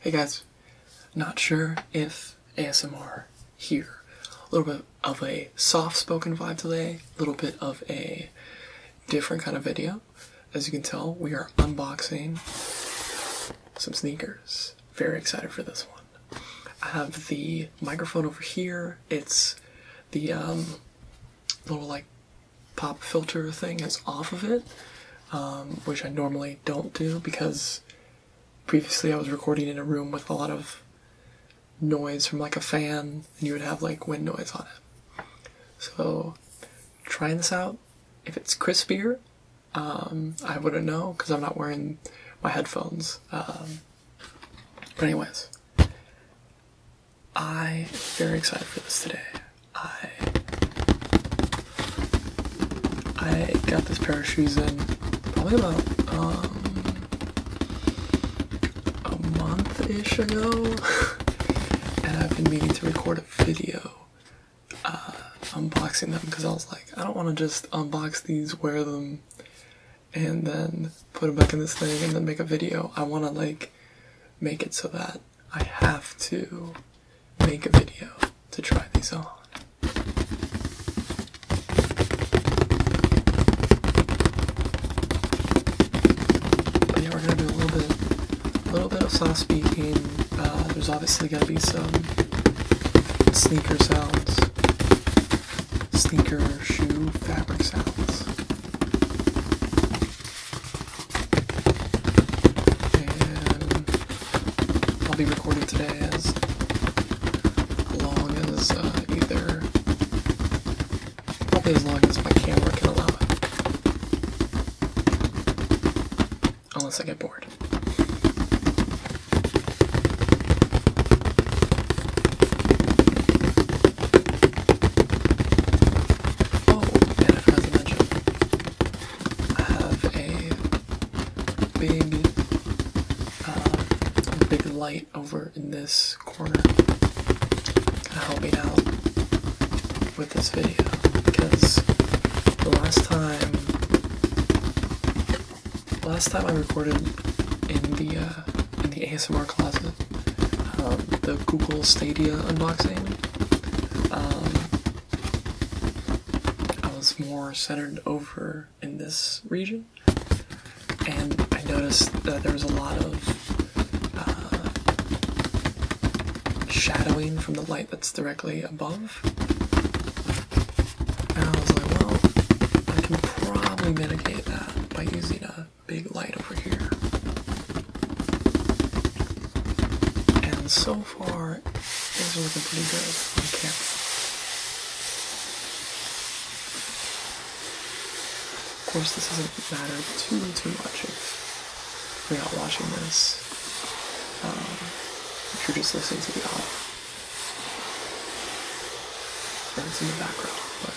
Hey guys, not sure if ASMR here. A little bit of a soft spoken vibe today, a little bit of a different kind of video. As you can tell, we are unboxing some sneakers. Very excited for this one. I have the microphone over here. It's the um, little like pop filter thing is off of it, um, which I normally don't do because previously I was recording in a room with a lot of noise from like a fan, and you would have like wind noise on it. So, trying this out, if it's crispier, um, I wouldn't know because I'm not wearing my headphones. Um, but anyways, I am very excited for this today. I I got this pair of shoes in probably about um, a month ish ago, and I've been meaning to record a video uh, unboxing them because I was like, I don't want to just unbox these, wear them, and then put them back in this thing and then make a video. I want to like make it so that I have to make a video to try these on. yeah, we're gonna do a little bit, a little bit of soft speaking. Uh, there's obviously gonna be some sneaker sounds, sneaker shoe fabric sounds. I'll be recording today as long as uh, either, probably as long as my camera can allow it. Unless I get bored. Oh, and I forgot mention, I have a big, uh, big light over in this corner to help me out with this video because the last time, last time I recorded in the uh, in the ASMR closet. Um, the Google Stadia unboxing. Um, I was more centered over in this region, and I noticed that there was a lot of uh, shadowing from the light that's directly above. And I was like, well, I can probably mitigate that by using a big light over here. And so far, things are looking pretty good on Of course, this doesn't matter too, much if you're not watching this. Um, if you're just listening to the audio. Or it's in the background,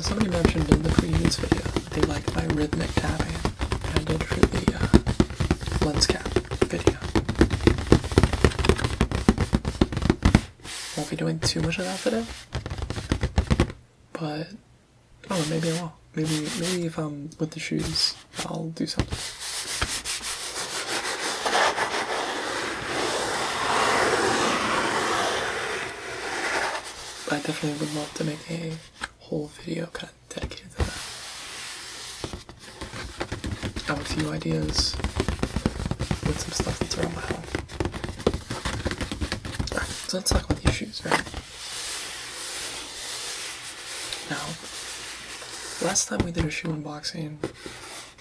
Somebody mentioned in the previous video they liked my rhythmic tapping I did for the uh, lens cap video. Won't be doing too much of that today, but I maybe I will. Maybe, maybe if I'm um, with the shoes, I'll do something. I definitely would love to make a whole video kind of dedicated to that. I have a few ideas with some stuff that's around my home. so let's talk about these shoes, right? Now, last time we did a shoe unboxing,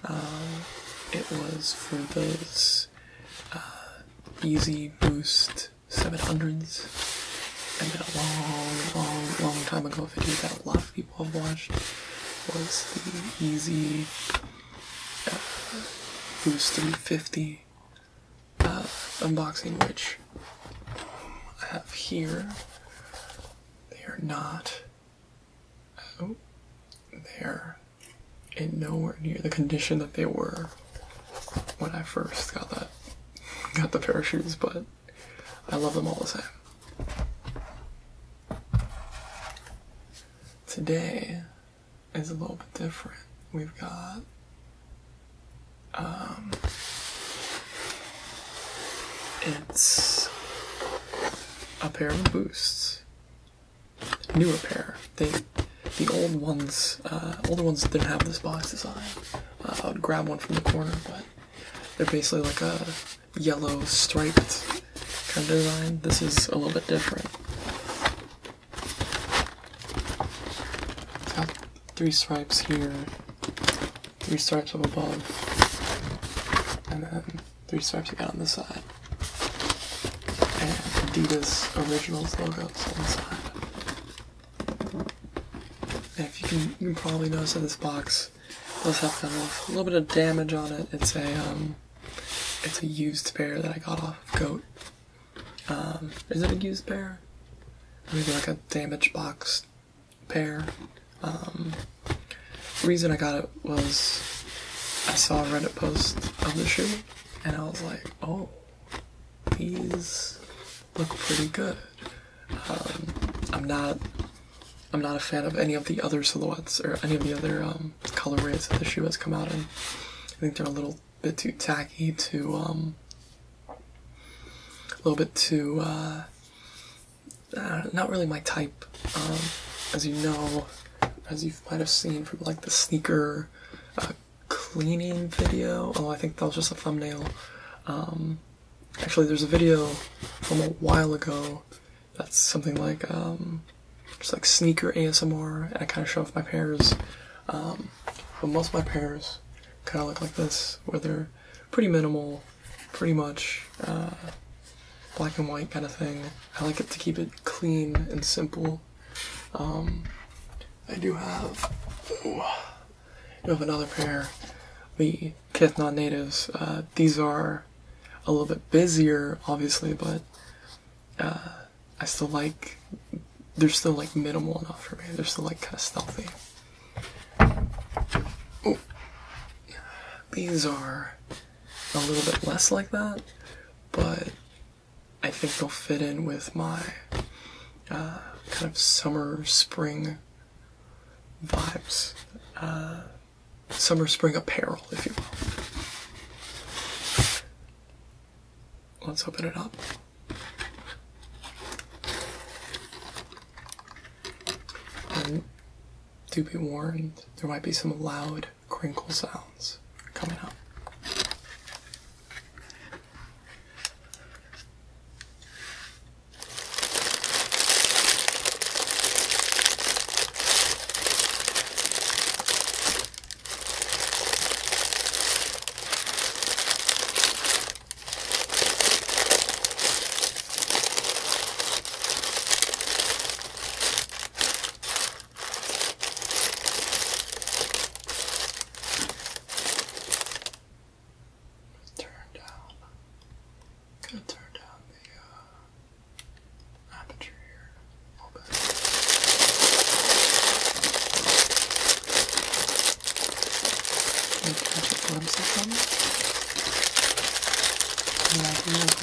um, it was for those uh, easy Boost 700s. And then a long, long, long time ago video that a lot of people have watched was the Easy uh, Boost 350 uh, unboxing, which I have here. They are not out oh, there in nowhere near the condition that they were when I first got that got the pair of shoes, but I love them all the same. Today is a little bit different. We've got um it's a pair of boosts newer pair. They, the old ones, uh, older ones didn't have this box design. Uh, I would grab one from the corner, but they're basically like a yellow striped kind of design. This is a little bit different. It's got three stripes here, three stripes up above, and then three stripes you got on the side, and Adidas Originals logos on the side. if you can, you probably notice that this box does have a little bit of damage on it. It's a um, it's a used pair that I got off Goat. Um, is it a used pair? Maybe like a damaged box pair. Um, reason I got it was I saw a Reddit post of the shoe and I was like, oh, these look pretty good. Um, I'm not I'm not a fan of any of the other silhouettes or any of the other um, colorways that the shoe has come out in. I think they're a little bit too tacky, too um, a little bit too uh, uh, not really my type. as you know, as you might have seen from like the sneaker uh, cleaning video. Oh, I think that was just a thumbnail. Um, actually, there's a video from a while ago that's something like um, just like sneaker ASMR. And I kind of show off my pairs, um, but most of my pairs kind of look like this, where they're pretty minimal, pretty much. Uh, black and white kind of thing. I like it to keep it clean and simple. Um, I do have, I have another pair, the Kith natives uh, these are a little bit busier, obviously, but uh, I still like, they're still like minimal enough for me. They're still like kind of stealthy. These are a little bit less like that, but I think they'll fit in with my uh, kind of summer spring vibes, uh, summer spring apparel, if you will. Let's open it up. And do be warned, there might be some loud crinkle sounds coming up. Turn down. gonna turn down the uh, aperture here a little bit. Can you catch a glimpse of them? Yeah,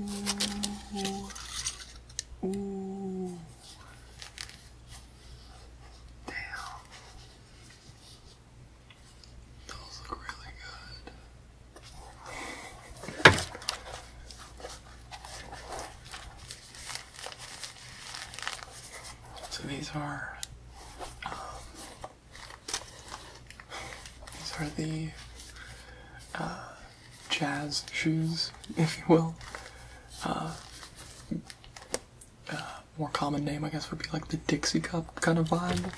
Ooh. Ooh. Damn. Those look really good. So these are um, these are the uh, jazz shoes, if you will. Uh, uh, more common name, I guess, would be like the Dixie Cup kind of vibe.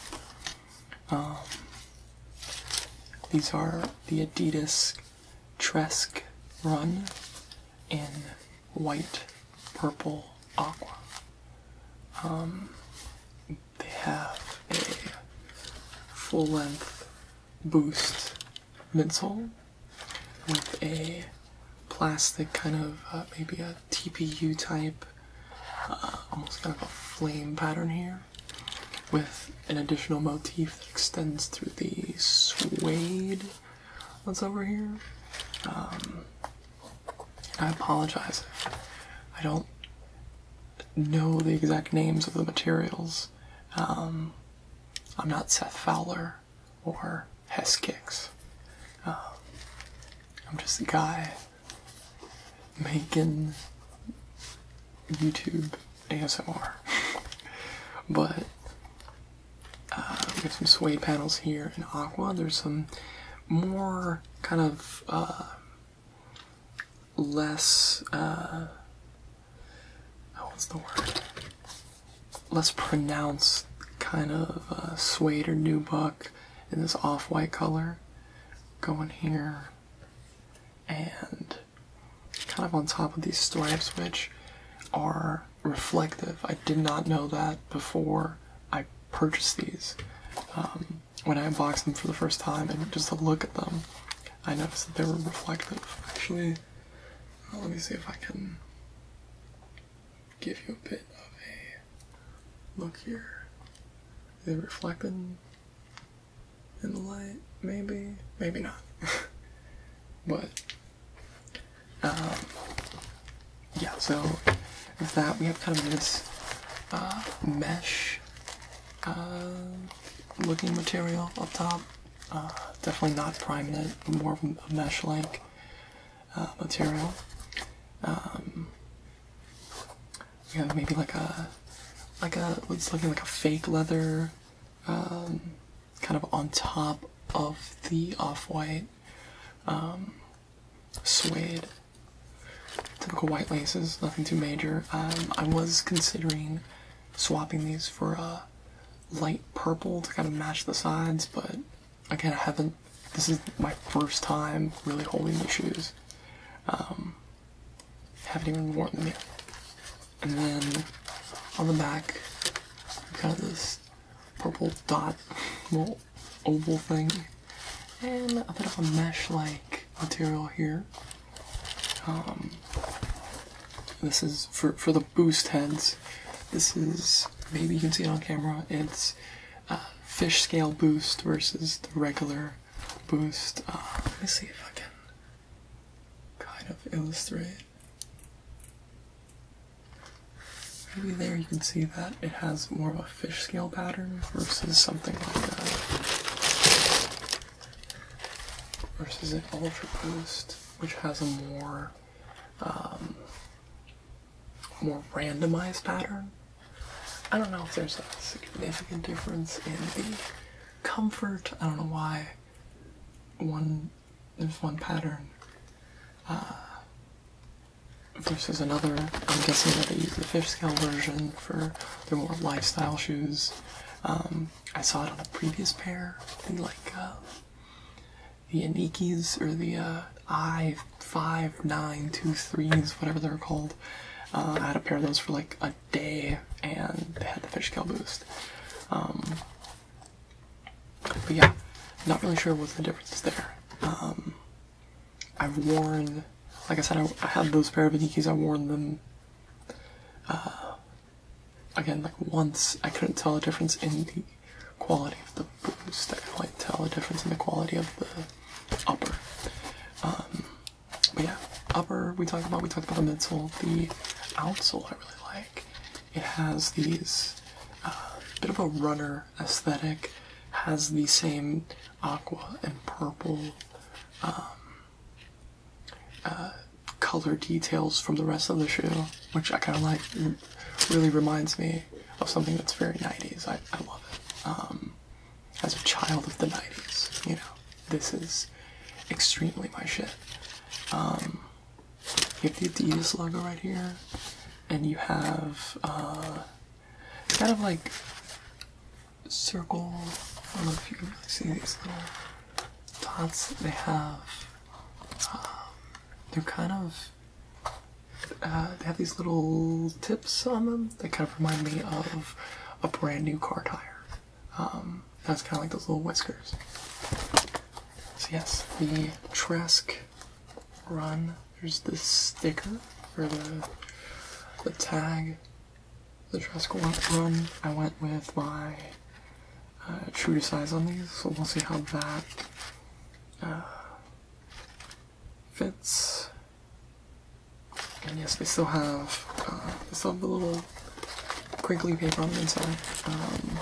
Um, these are the Adidas Tresk Run in white, purple, aqua. Um, they have a full length boost midsole with a plastic kind of uh, maybe a TPU type, uh, almost kind of a flame pattern here, with an additional motif that extends through the suede What's over here. Um, I apologize. I don't know the exact names of the materials. Um, I'm not Seth Fowler or Hess Kicks. Um, I'm just a guy making YouTube ASMR. but uh, we have some suede panels here in aqua. There's some more kind of uh, less. Uh, oh, what's the word? Less pronounced kind of suede or nubuck in this off-white color. Going here and kind of on top of these stripes, which are reflective. I did not know that before I purchased these. Um, when I unboxed them for the first time and just to look at them, I noticed that they were reflective. Actually, uh, let me see if I can give you a bit of a look here. they Are reflecting in the light? Maybe, maybe not. but um, yeah, so with that, we have kind of this uh, mesh uh, looking material up top. Uh, definitely not primed it, more of a mesh like material. we um, have maybe like a, like a, it's looking like a fake leather um, kind of on top of the off-white um, suede. Typical white laces, nothing too major. Um, I was considering swapping these for a uh, light purple to kind of match the sides, but again, I haven't. This is my first time really holding the shoes. Um, haven't even worn them yet. And then on the back, we've got this purple dot oval thing, and a bit of a mesh-like material here. Um, this is for for the boost heads. This is maybe you can see it on camera. It's uh, fish scale boost versus the regular boost. Uh, let me see if I can kind of illustrate. Maybe there you can see that it has more of a fish scale pattern versus something like that. Versus an Ultra Boost, which has a more um, more randomized pattern. I don't know if there's a significant difference in the comfort. I don't know why one there's one pattern uh, versus another. I'm guessing that they use the fish scale version for their more lifestyle shoes. Um, I saw it on a previous pair, the like uh, the Anikis or the uh, I five nine two threes, whatever they're called. Uh, I had a pair of those for like a day, and they had the fish scale boost. Um, but yeah, not really sure what the difference is there. Um, I've worn, like I said, I, I had those pair of Nikes. I have worn them uh, again like once. I couldn't tell a difference in the quality of the boost. I can't tell a difference in the quality of the upper. Um, but yeah, upper we talked about. We talked about the midsole, the outsole. I really like. It has these uh, bit of a runner aesthetic, has the same aqua and purple um, uh, color details from the rest of the shoe, which I kind of like. Really reminds me of something that's very 90s. I, I love it. Um, as a child of the 90s, you know, this is extremely my shit. Um, you have the Adidas logo right here, and you have uh, kind of like circle. I don't know if you can really see these little dots that they have. Um, they're kind of uh, they have these little tips on them that kind of remind me of a brand new car tire. Um, that's kind of like those little whiskers. So yes, the Trask run. There's the sticker for the the tag. The Trask run. I went with my uh, true to size on these, so we'll see how that uh, fits. And yes, they still have uh, they the little crinkly paper on the inside. Um,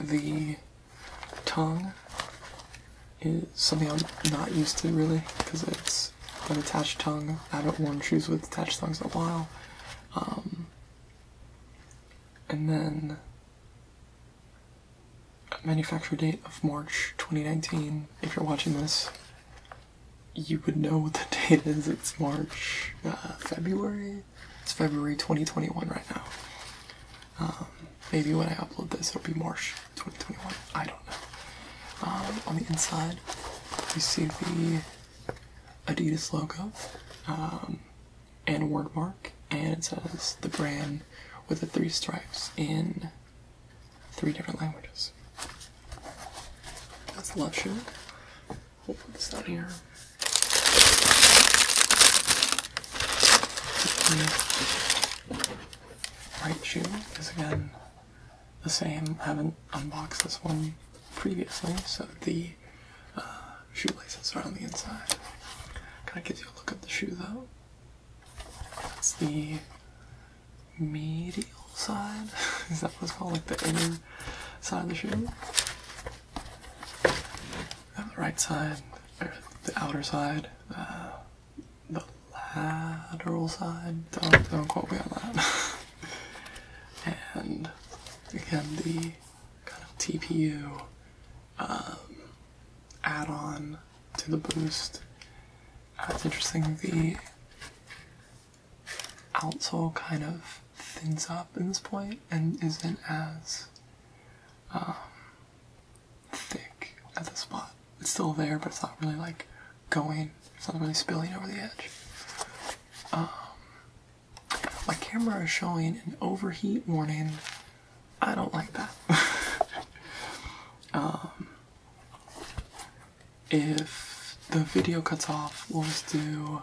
the tongue is something I'm not used to really because it's an attached tongue. I haven't worn shoes with attached tongues in a while. Um, and then a manufacture date of March 2019. If you're watching this, you would know what the date is. It's March, uh, February, it's February 2021 right now. Um, maybe when I upload this, it'll be March 2021. I don't know. Um, on the inside, you see the Adidas logo um, and word mark, and it says the brand with the three stripes in three different languages. That's the shoe. We'll put this on here. Right shoe is again the same. I haven't unboxed this one previously, so the uh, shoelaces are on the inside. Can I give you a look at the shoe though. That's the medial side. Is that what's called? Like the inner side of the shoe the right side, the outer side, uh, the lateral side. Don't, quote me on that. and again, the kind of TPU um, add-on to the boost. That's uh, interesting the outsole kind of Thins up in this point and isn't as um, thick at the spot. It's still there, but it's not really like going, it's not really spilling over the edge. Um, my camera is showing an overheat warning. I don't like that. Um, if the video cuts off, we'll just do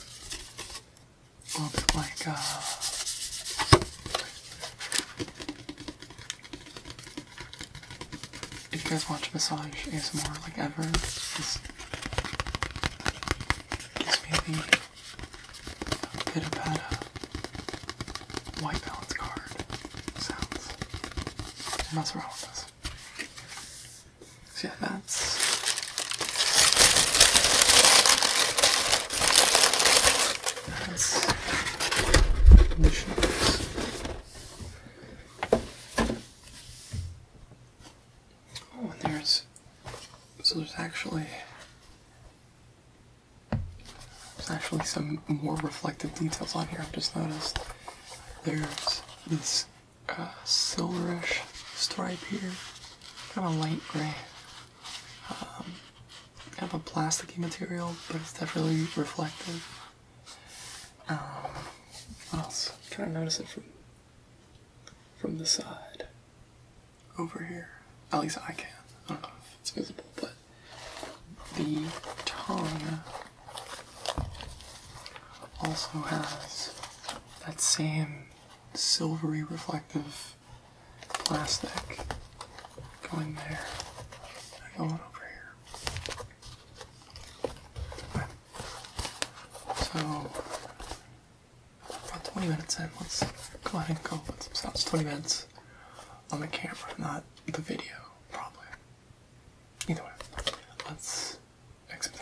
a little bit like uh, if you guys watch massage more like ever, this gives me the bit white balance card sounds. Mess around with this. See that's. That's conditions. Oh, there's so there's actually there's actually some more reflective details on here. I've just noticed there's this uh, silverish stripe here, kind of light gray. Um, kind of a plasticky material, but it's definitely reflective. Um, what else? I'm trying to notice it from from the side over here. At least I can. I don't know if it's visible, but the tongue also has that same silvery reflective plastic going there. I over here. So, about 20 minutes in, let's go ahead and go with some 20 minutes on the camera, not the video, probably. Either way, let's expounds.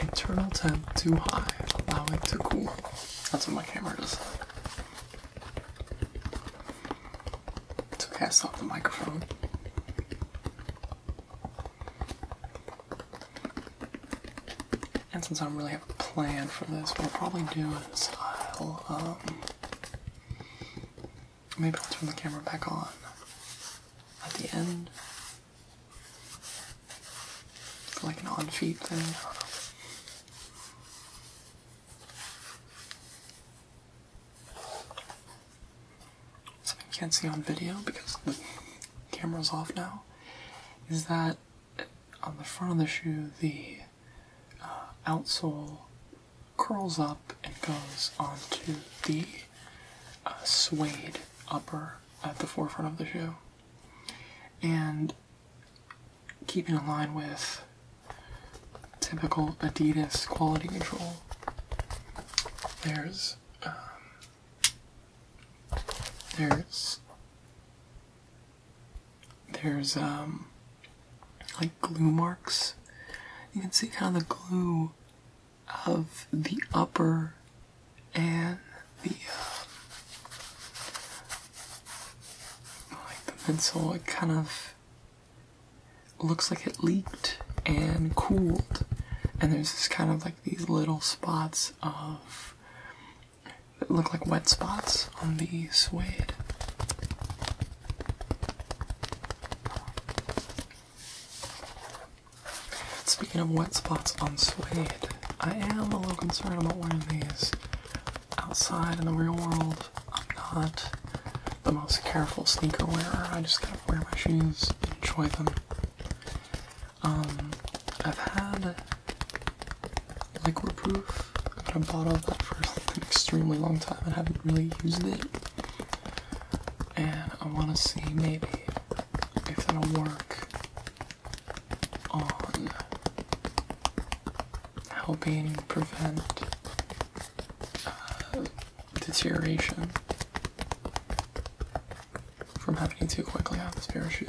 Internal temp too high, allow it to cool. That's what my camera does. okay, I stopped the microphone. And since I don't really have a plan for this, what I'll probably do is I'll, um, maybe I'll turn the camera back on at the end like an on feed thing, I Something you can't see on video because the camera's off now is that on the front of the shoe the uh, outsole curls up and goes onto the uh, suede upper at the forefront of the shoe and keeping in line with typical Adidas quality control. There's um, there's there's um like glue marks. You can see kind of the glue of the upper and the um, like the pencil it kind of looks like it leaked and cooled and there's this kind of like these little spots of that look like wet spots on the suede Speaking of wet spots on suede, I am a little concerned about wearing these outside in the real world. I'm not the most careful sneaker wearer. I just kind of wear my shoes, enjoy them. Um, I've had liquid proof, but I bought all that for an extremely long time I haven't really used it. And I want to see maybe if that'll work on helping prevent uh, deterioration from happening too quickly on this pair of shoes.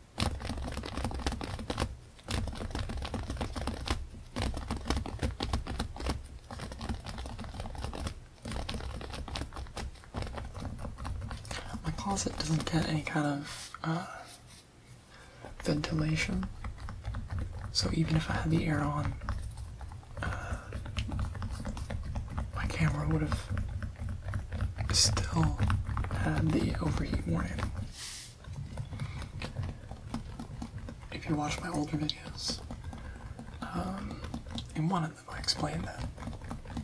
My closet doesn't get any kind of uh, ventilation, so even if I had the air on, uh, my camera would have still had the overheat warning. If you watch my older videos, in um, one of them I explained that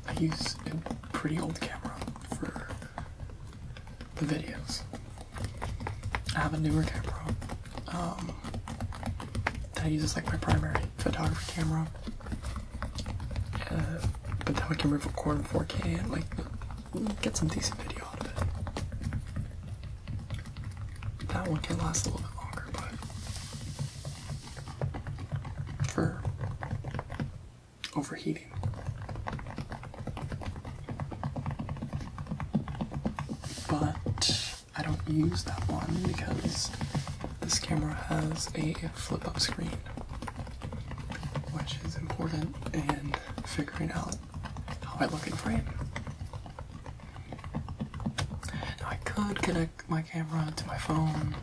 I use a pretty old camera for the videos. I have a newer camera um, that I use as like my primary photography camera. Uh, but then we can record in 4K and like get some decent video out of it. That one can last a little bit longer, but for overheating. But I don't use that one because this camera has a flip up screen which is important in figuring out how I look in frame. Now I could connect my camera to my phone,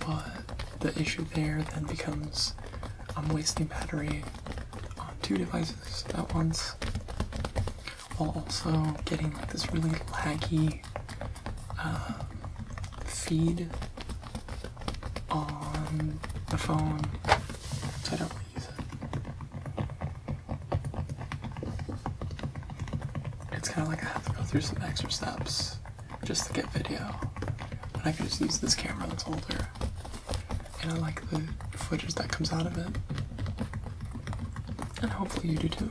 but the issue there then becomes I'm wasting battery on two devices at once while also getting like this really laggy feed on the phone, I don't use it. It's kind of like I have to go through some extra steps just to get video, but I can just use this camera that's older, and I like the footage that comes out of it, and hopefully you do too.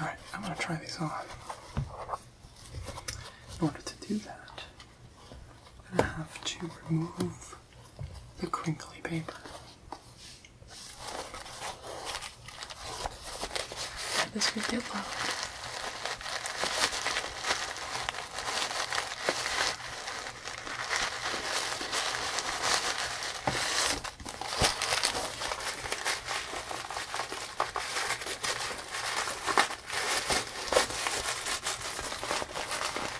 All right, I'm going to try these on. In order to do that, I am gonna have to remove the crinkly paper. this would get loud.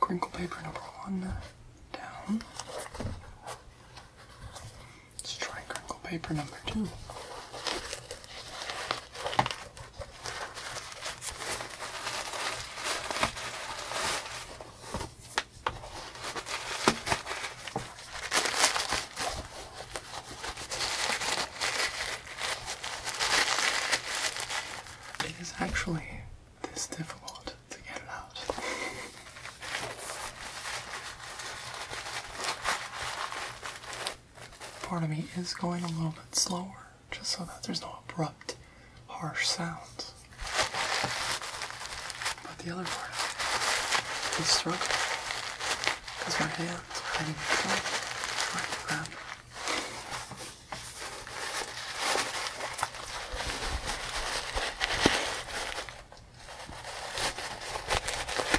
Crinkle paper number one down. Let's try crinkle paper number two. It is actually this difficult to get it out part of me is going a little bit slower just so that there's no abrupt, harsh sounds. But the other part is struggling because my hands are getting trying to grab it.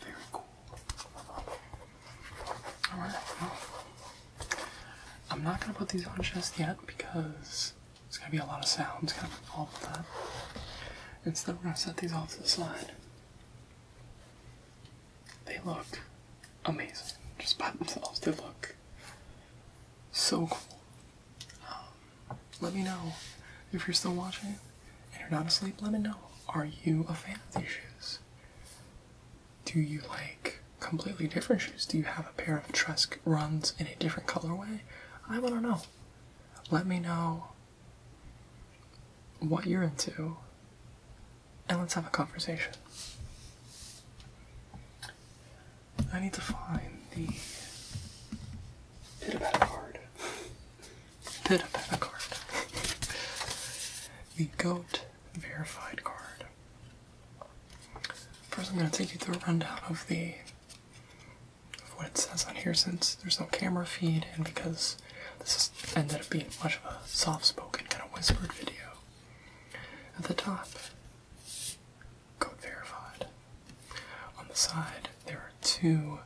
Very cool. Alright, I'm not going to put these on just yet because there's going to be a lot of sounds kind of involved with that. Instead, we're going to set these off to the side. They look amazing just by themselves. They look so cool. Um, let me know if you're still watching and are not asleep, let me know. Are you a fan of these shoes? Do you like completely different shoes? Do you have a pair of Tresk runs in a different colorway? I want to know. Let me know what you're into, and let's have a conversation. I need to find the pit about card. Pit a Peta card. the GOAT verified card. First, I'm going to take you through a rundown of the of what it says on here, since there's no camera feed, and because this has ended up being much of a soft-spoken, kind of whispered video. At the top, code verified. On the side, there are two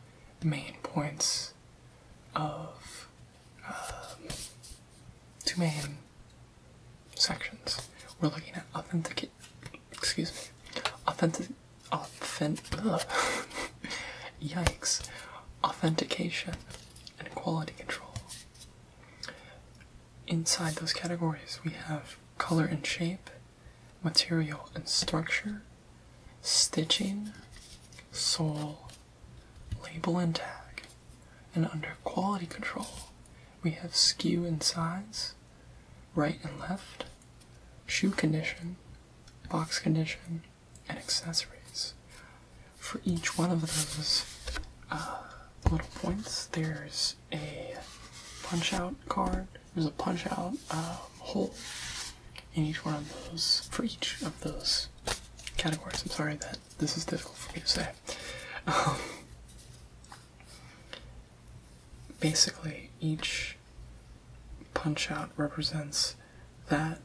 main points of um, two main sections. We're looking at authentic, excuse me, authentic, authentic, yikes, authentication and quality control. Inside those categories, we have color and shape, material and structure, stitching, sole, label and tag, and under quality control, we have skew and size, right and left, shoe condition, box condition, and accessories. For each one of those uh, little points, there's a punch out card, there's a punch out uh, hole in each one of those, for each of those categories. I'm sorry that this is difficult for me to say. Um, basically, each punch out represents that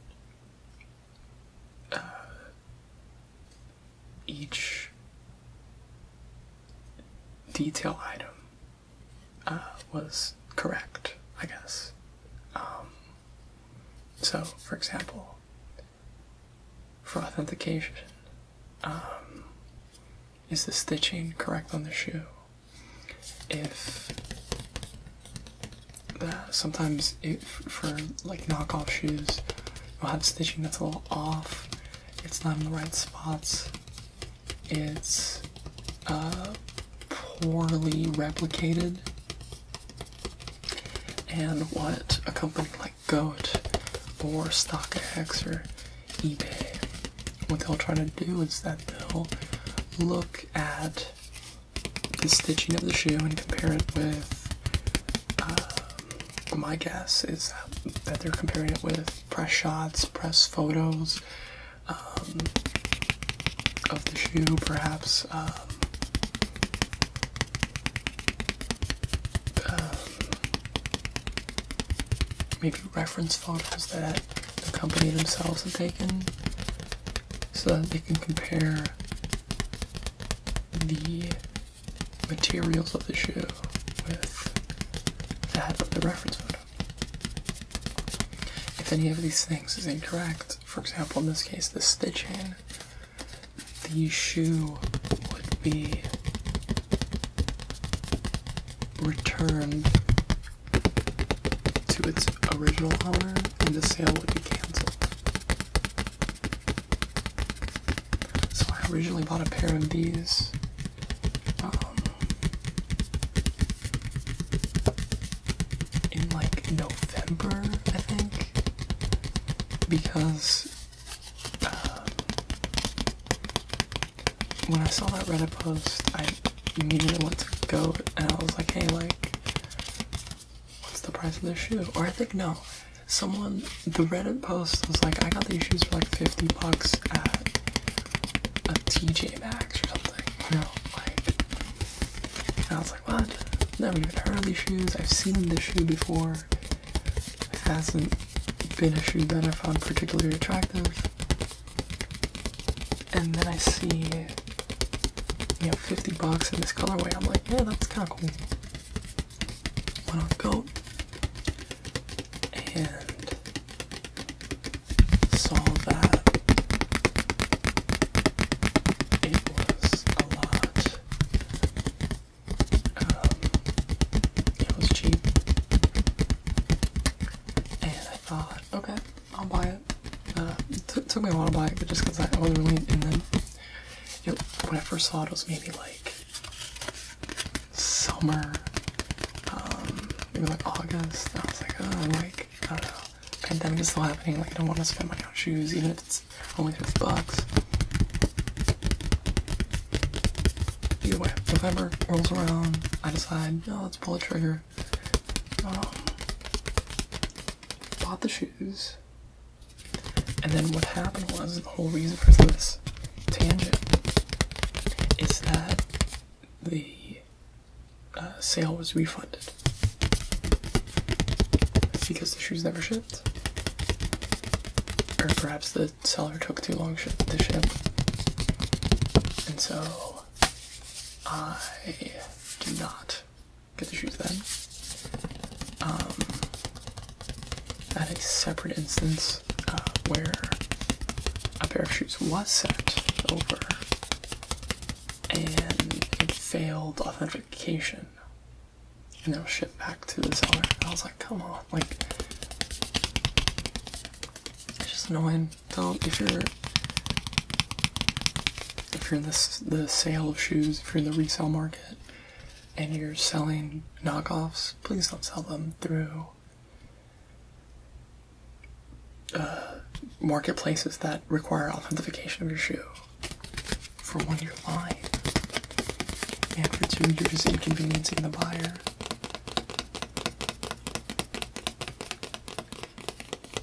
uh, each detail item uh, was correct, I guess. Um, so, for example, for authentication, um, is the stitching correct on the shoe? If sometimes it, for like knockoff shoes, you'll have stitching that's a little off, it's not in the right spots, it's poorly replicated, and what a company like Goat or StockX or eBay, what they'll try to do is that they'll look at the stitching of the shoe and compare it with. Um, my guess is that they're comparing it with press shots, press photos, um, of the shoe, perhaps. Um, maybe reference photos that the company themselves have taken so that they can compare the materials of the shoe with that of the reference photo. If any of these things is incorrect, for example, in this case, the stitching, the shoe would be returned to its original owner and the sale would be cancelled. So I originally bought a pair of these. Um, in like November, I think, because um, when I saw that Reddit post, I immediately went to go and I was like, hey, like, what's the price of this shoe? Or I think, no, someone, the Reddit post was like, I got these shoes for like 50 bucks at a TJ Maxx or something, you know, like, and I was like, what? Never even heard of these shoes. I've seen this shoe before. hasn't been a shoe that I found particularly attractive. And then I see, you know, 50 bucks in this colorway. I'm like, yeah, that's kind of cool. Went on Goat. And solve that. It was a lot. Um, it was cheap. And I thought, okay, I'll buy it. Uh, took, me a while to buy it, but just because I wasn't really in them. You when I first saw it, it was maybe like summer, um, maybe like August. I was like, oh, like, I don't know pandemic is still happening, like I don't want to spend money on shoes, even if it's only 50 bucks. Either way, November rolls around, I decide, no, oh, let's pull the trigger. Um, bought the shoes, and then what happened was the whole reason for this tangent is that the uh, sale was refunded because the shoes never shipped. Or perhaps the seller took too long to ship. And so I do not get the shoes then. Um, at a separate instance uh, where a pair of shoes was sent over and it failed authentication and it was shipped back to the seller. I was like, come on, like it's just annoying. Don't if you're if you're in this the sale of shoes, if you're in the resale market and you're selling knockoffs, please don't sell them through uh, marketplaces that require authentication of your shoe. For one, you're lying, and for two, you're just inconveniencing the buyer.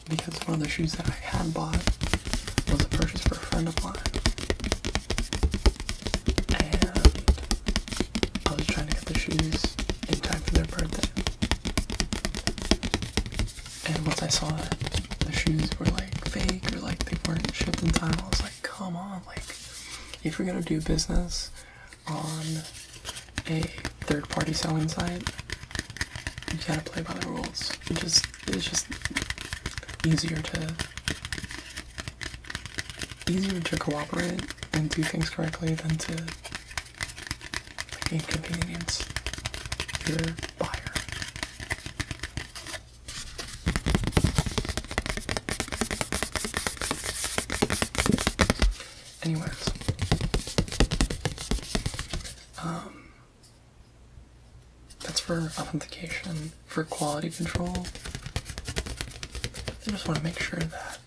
Because one of the shoes that I had bought was a purchase for a friend of mine. And I was shoes in time for their birthday. And once I saw that the shoes were like fake or like they weren't shipped in time, I was like, come on, like if you're gonna do business on a third party selling site, you gotta play by the rules. It just it's just easier to easier to cooperate and do things correctly than to the inconvenience your buyer. Anyways, um, that's for authentication, for quality control. I just want to make sure that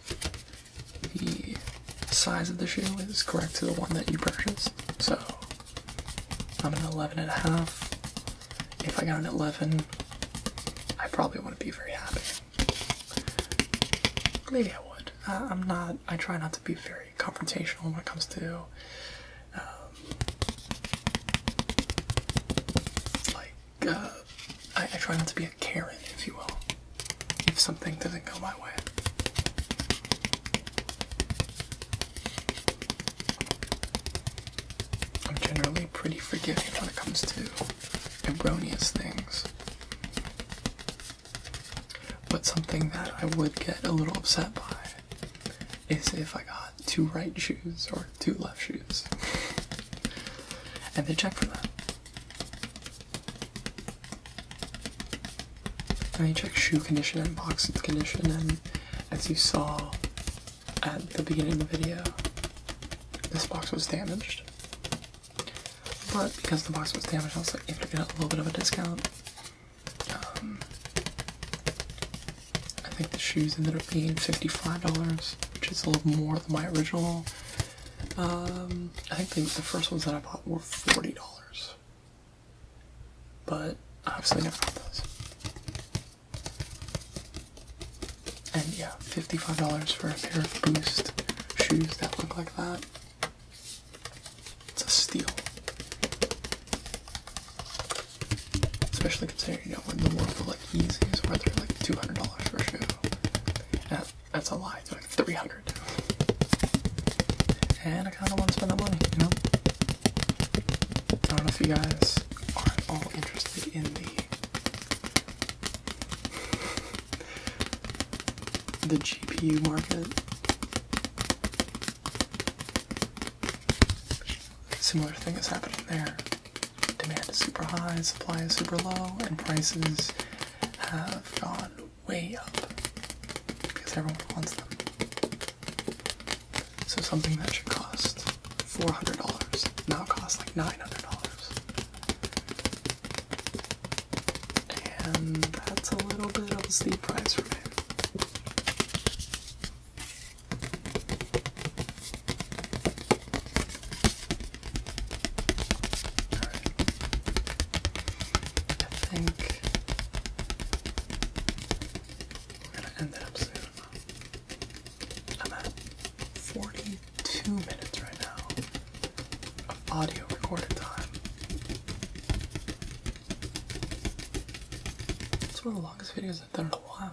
the size of the shoe is correct to the one that you purchased. So I'm an 11 and a half. If I got an 11, I probably wouldn't be very happy. Maybe I would. I'm not, I try not to be very confrontational when it comes to um, like, uh, I try not to be a Karen, if you will if something doesn't go my way. I'm generally pretty forgiving when it comes to erroneous things. But something that I would get a little upset by is if I got two right shoes or two left shoes. and they check for that. I check shoe condition and box condition, and as you saw at the beginning of the video, this box was damaged. But because the box was damaged, I was like, able to get a little bit of a discount. Um, I think the shoes ended up being $55, which is a little more than my original um, I think the, first ones that I bought were forty dollars, but obviously never got those. And yeah, fifty-five dollars for a pair of Boost shoes that look like that. It's a steal, especially considering you know when the world like easy, where worth like two hundred dollars for a shoe. And that's a lie. It's like 300 And I kind of want to spend that money, you know? I don't know if you guys are all interested in the... the GPU market. Similar thing is happening there. Demand is super high, supply is super low, and prices have gone way up because everyone wants them. So something that should cost $400 now costs like $900. And that's a little bit of a steep price for me. I think we're gonna end up soon. I'm at 42 minutes right now of audio recorded time. It's one of the longest videos I've done in a while.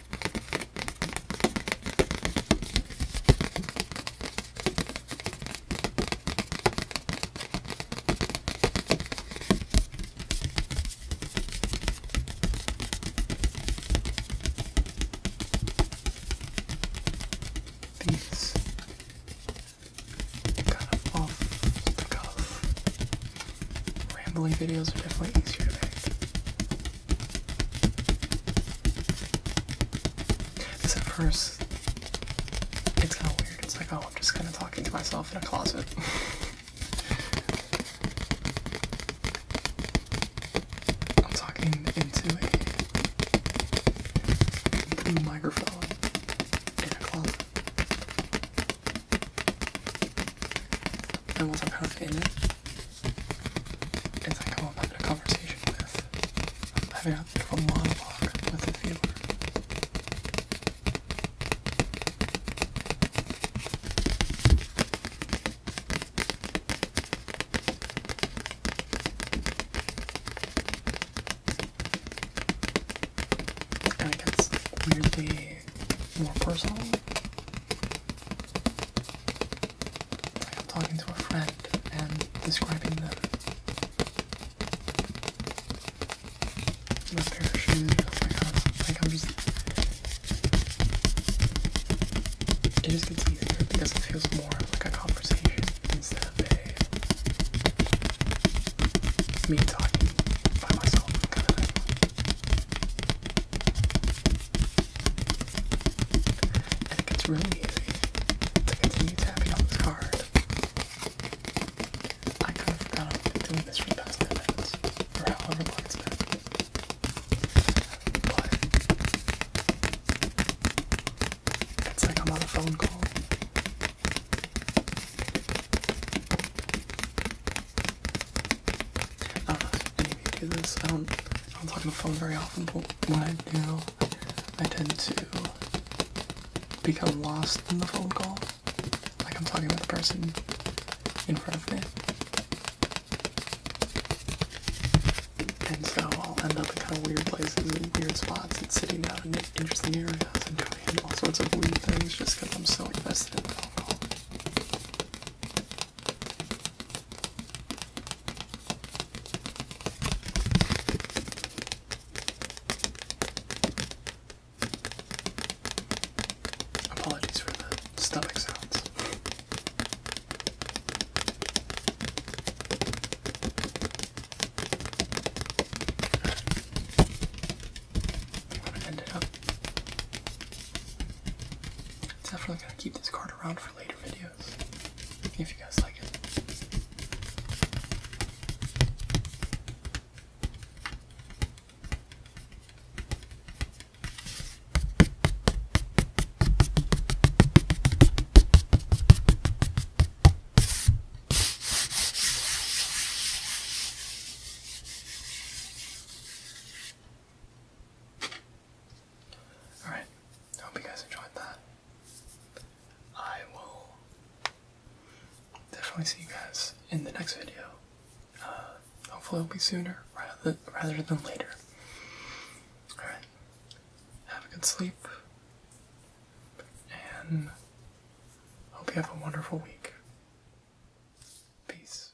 These kind of rambling videos are definitely easier to make. Because at first, it's kind of weird. It's like, oh, I'm just kind of talking to myself in a closet. I'm talking into a blue microphone in a closet and was apparently in it. It's like, I'm having a conversation with, having a monologue with a viewer. And it gets weirdly more personal. I'm talking to a friend and describing them. My pair of shoes, like oh i like I'm just. It just gets easier because it feels more like a conversation instead of a me talking by myself kind of I think it's really easy to continue tapping on this card. I could have gone on doing this for the past minutes, or however long it it's like I'm on a phone call. Uh, I don't know if any of you do this. I don't. talk on the phone very often, but when I do, I tend to become lost in the phone call. Like I'm talking with the person in front of me. And so I'll end up in kind of weird places and weird spots and sitting out in interesting areas and doing all sorts of weird things just because I'm so invested in the phone call. Apologies for the stomach sounds. i up. Definitely gonna keep this card around for later videos if you guys like it. Alright, I hope you guys enjoyed that. I will definitely see you guys in the next video. Uh, hopefully, it'll be sooner rather, rather than later. Alright, have a good sleep, and hope you have a wonderful week. Peace.